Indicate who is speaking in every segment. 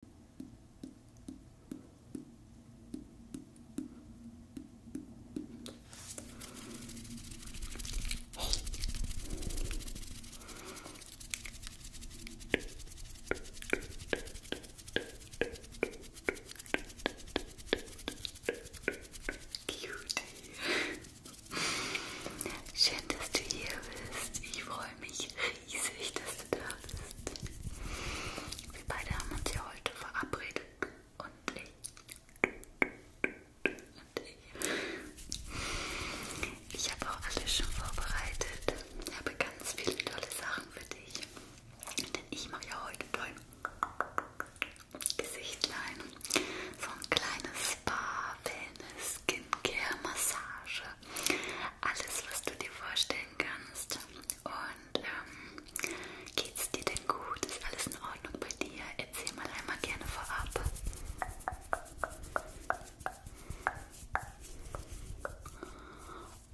Speaker 1: Cutie. Schön, dass du hier bist. Ich freue freue mich riesig, dass du da bist. Wir beide haben uns ja heute verabredet und ich. Und ich. Ich habe auch alles schon vorbereitet. Ich habe ganz viele tolle Sachen für dich. Denn ich mache ja heute dein Gesichtlein. So ein kleines Spa, Wellness, Skincare, Massage. Alles, was du dir vorstellst stellen kannst. Und ähm, geht's dir denn gut? Ist alles in Ordnung bei dir? Erzähl mal einmal gerne vorab.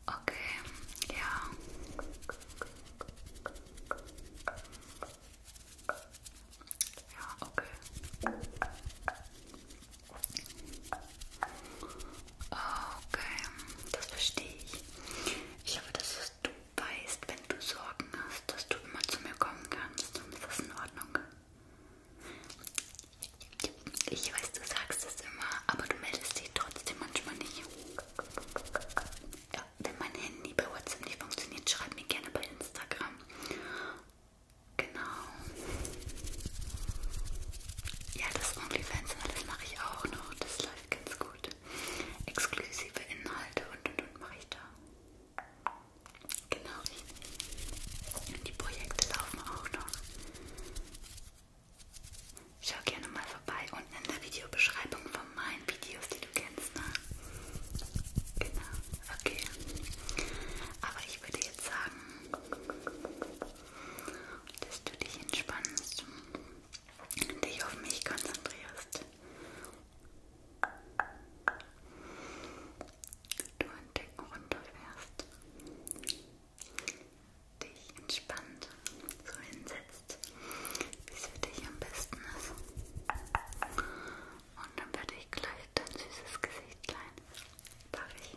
Speaker 1: Okay, ja. Ja, okay. Okay, das verstehe ich. Ich hoffe, dass du weißt, wenn du Sorgen hast, dass du immer zu mir kommen kannst. Ist das in Ordnung? Ich weiß, du sagst es immer, aber du meldest dich trotzdem manchmal nicht. Ja, wenn mein Handy bei WhatsApp nicht funktioniert, schreib mir gerne bei Instagram. Genau. Ja, das OnlyFans, das mache ich auch noch. Das läuft ganz gut. Exklusive Inhalte und und und mache ich da. Genau richtig. Und die Projekte laufen auch noch. Schau gerne mal vorbei unten in der Videobeschreibung von meinen Videos, die du kennst. Ne? Genau, okay. Aber ich würde jetzt sagen, dass du dich entspannst, dich auf mich konzentrierst. Du in Decken runterfährst, dich entspannt so hinsetzt, wie es für dich am besten ist. Und dann werde ich gleich dein süßes Gesichtlein. Darf ich?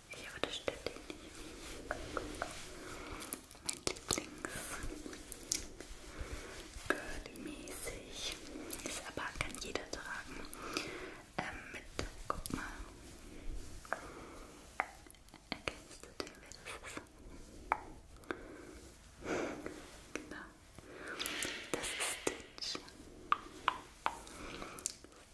Speaker 1: Hier wurde Stettin. Mein Lieblings. Girly-mäßig. Ist aber, kann jeder tragen. Ähm, mit, guck mal. Erkennst du den, wer das ist? Genau. Das ist Stitch.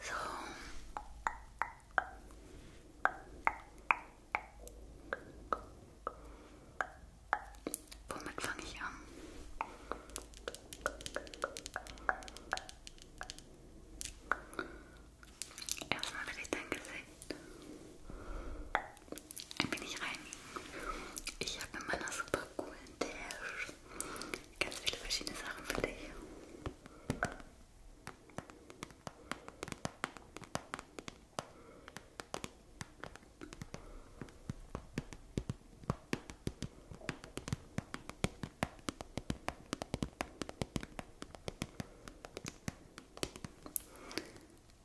Speaker 1: So. Womit fange ich an? Erstmal will ich dein Gesicht ein wenig reinigen. Ich habe in meiner Suppe cool. Ganz viele verschiedene Sachen für dich.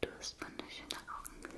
Speaker 1: Du hast wunderschöne Augen.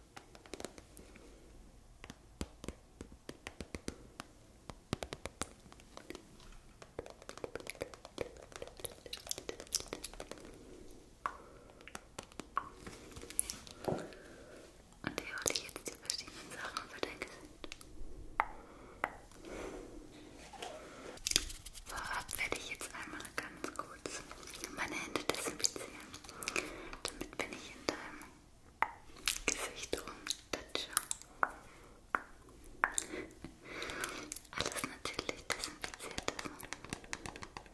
Speaker 1: Und hier hole ich jetzt die verschiedenen Sachen für dein Gesicht. Vorab werde ich jetzt einmal ganz kurz meine Hände desinfizieren. Damit bin ich in deinem Gesicht rumtatsche. Alles natürlich desinfiziert ist. Gut.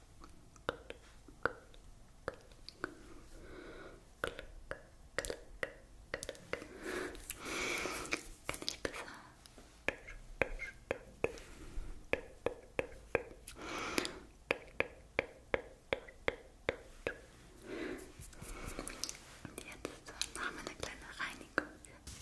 Speaker 1: Kann ich besser? Und jetzt machen wir eine kleine Reinigung. Hier.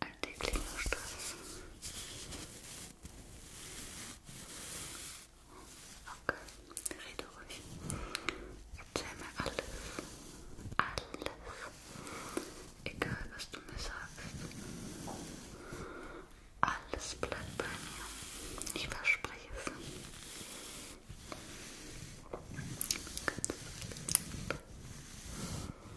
Speaker 1: alltäglichen Stress. Okay, rede ruhig. Erzähl mir alles. Alles. Egal, was du mir sagst. Alles bleibt bei mir. Ich verspreche es. Gut.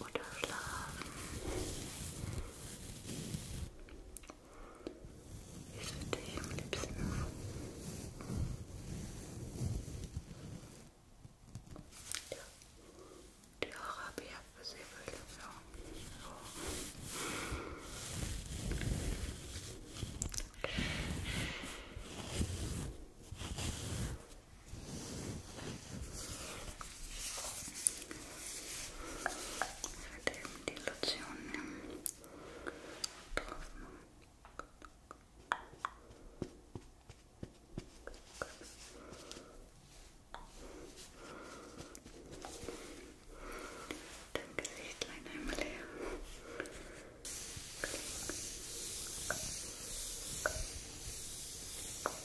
Speaker 1: oder schlafen. Wie ist für dich am liebsten? Ja. Die Haare habe ich abgesäbelt. Ja. So. Okay. Ich werde eben die Lotion nehmen und drauf machen. Dein Gesicht leider einmal her. Klick. Klick. Klick.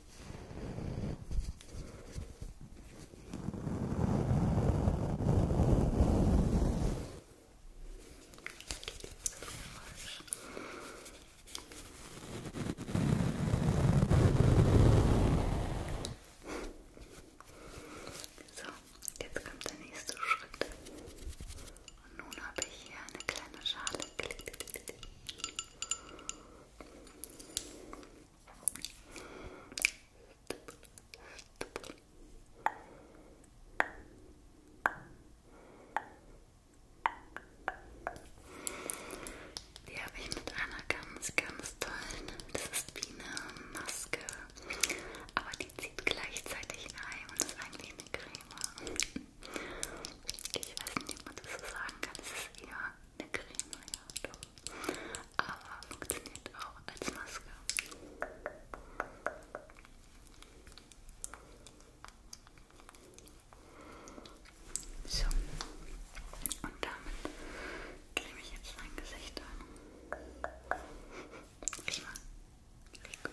Speaker 1: So, jetzt kommt der nächste Schritt. Und nun habe ich hier eine kleine Schale. Klick, klick, klick. Die habe ich mit einer ganz, ganz tollen, das ist wie eine Maske, aber die zieht gleichzeitig ein und ist eigentlich eine Creme. Ich weiß nicht, ob man das so sagen kann. Es ist eher eine Creme, ja, doch. aber funktioniert auch als Maske. So, und damit creme ich jetzt mein Gesicht an. Ich war richtig gut.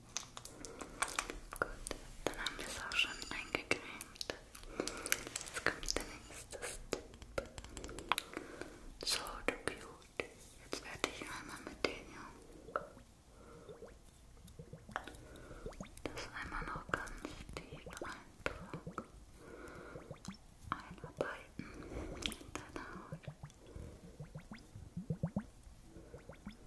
Speaker 1: Gut, dann haben wir es auch schon eingecremt. Jetzt kommt der nächste Step. So, du Cute. Jetzt werde ich einmal mit den hier das einmal noch ganz tief einfach einarbeiten in deine Haut.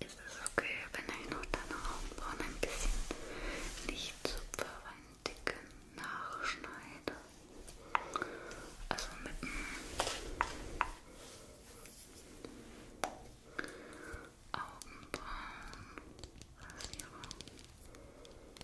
Speaker 1: Ist es okay, wenn ich noch deine Augenbrauen ein bisschen nicht zupfe, einen dicken nachschneide? Also mit dem Augenbrauenrasierer.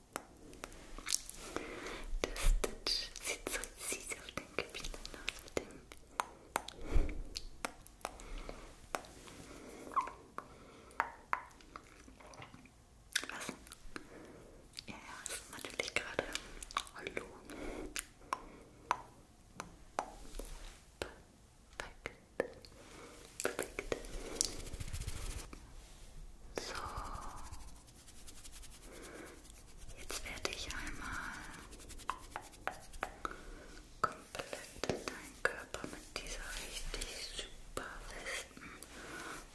Speaker 1: Der Stitch sieht so süß auf den Gebieten aus mit dem. Was? Ja, ja, das ist natürlich gerade. Hallo. Perfekt. Perfekt. So. Jetzt werde ich einmal komplett deinen Körper mit dieser richtig super festen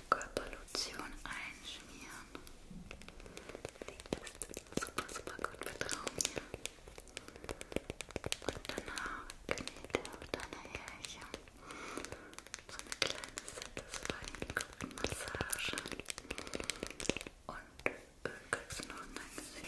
Speaker 1: Körperlotion einschmieren. Die ist super, super gut vertrauen mir. Und danach knetet auf deine Härchen so eine kleine satisfying Kopfmassage und äh, kriegst du noch in dein Gesicht.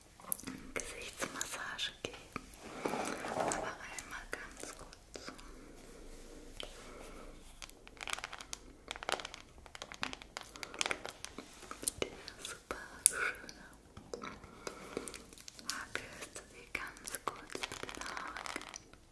Speaker 1: Gesichtsmassage geben. Aber einmal ganz kurz. Der super schöne Haken ist sie ganz kurz mit den Haaren. Sehr schön.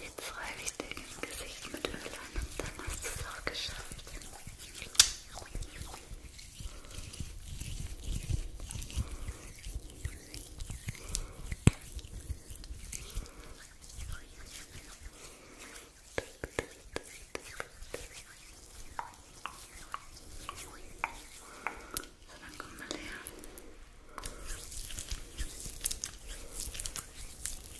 Speaker 1: Jetzt schreibe ich dir ins Gesicht mit Öl an und dann hast du es auch geschafft. So, dann komm mal her.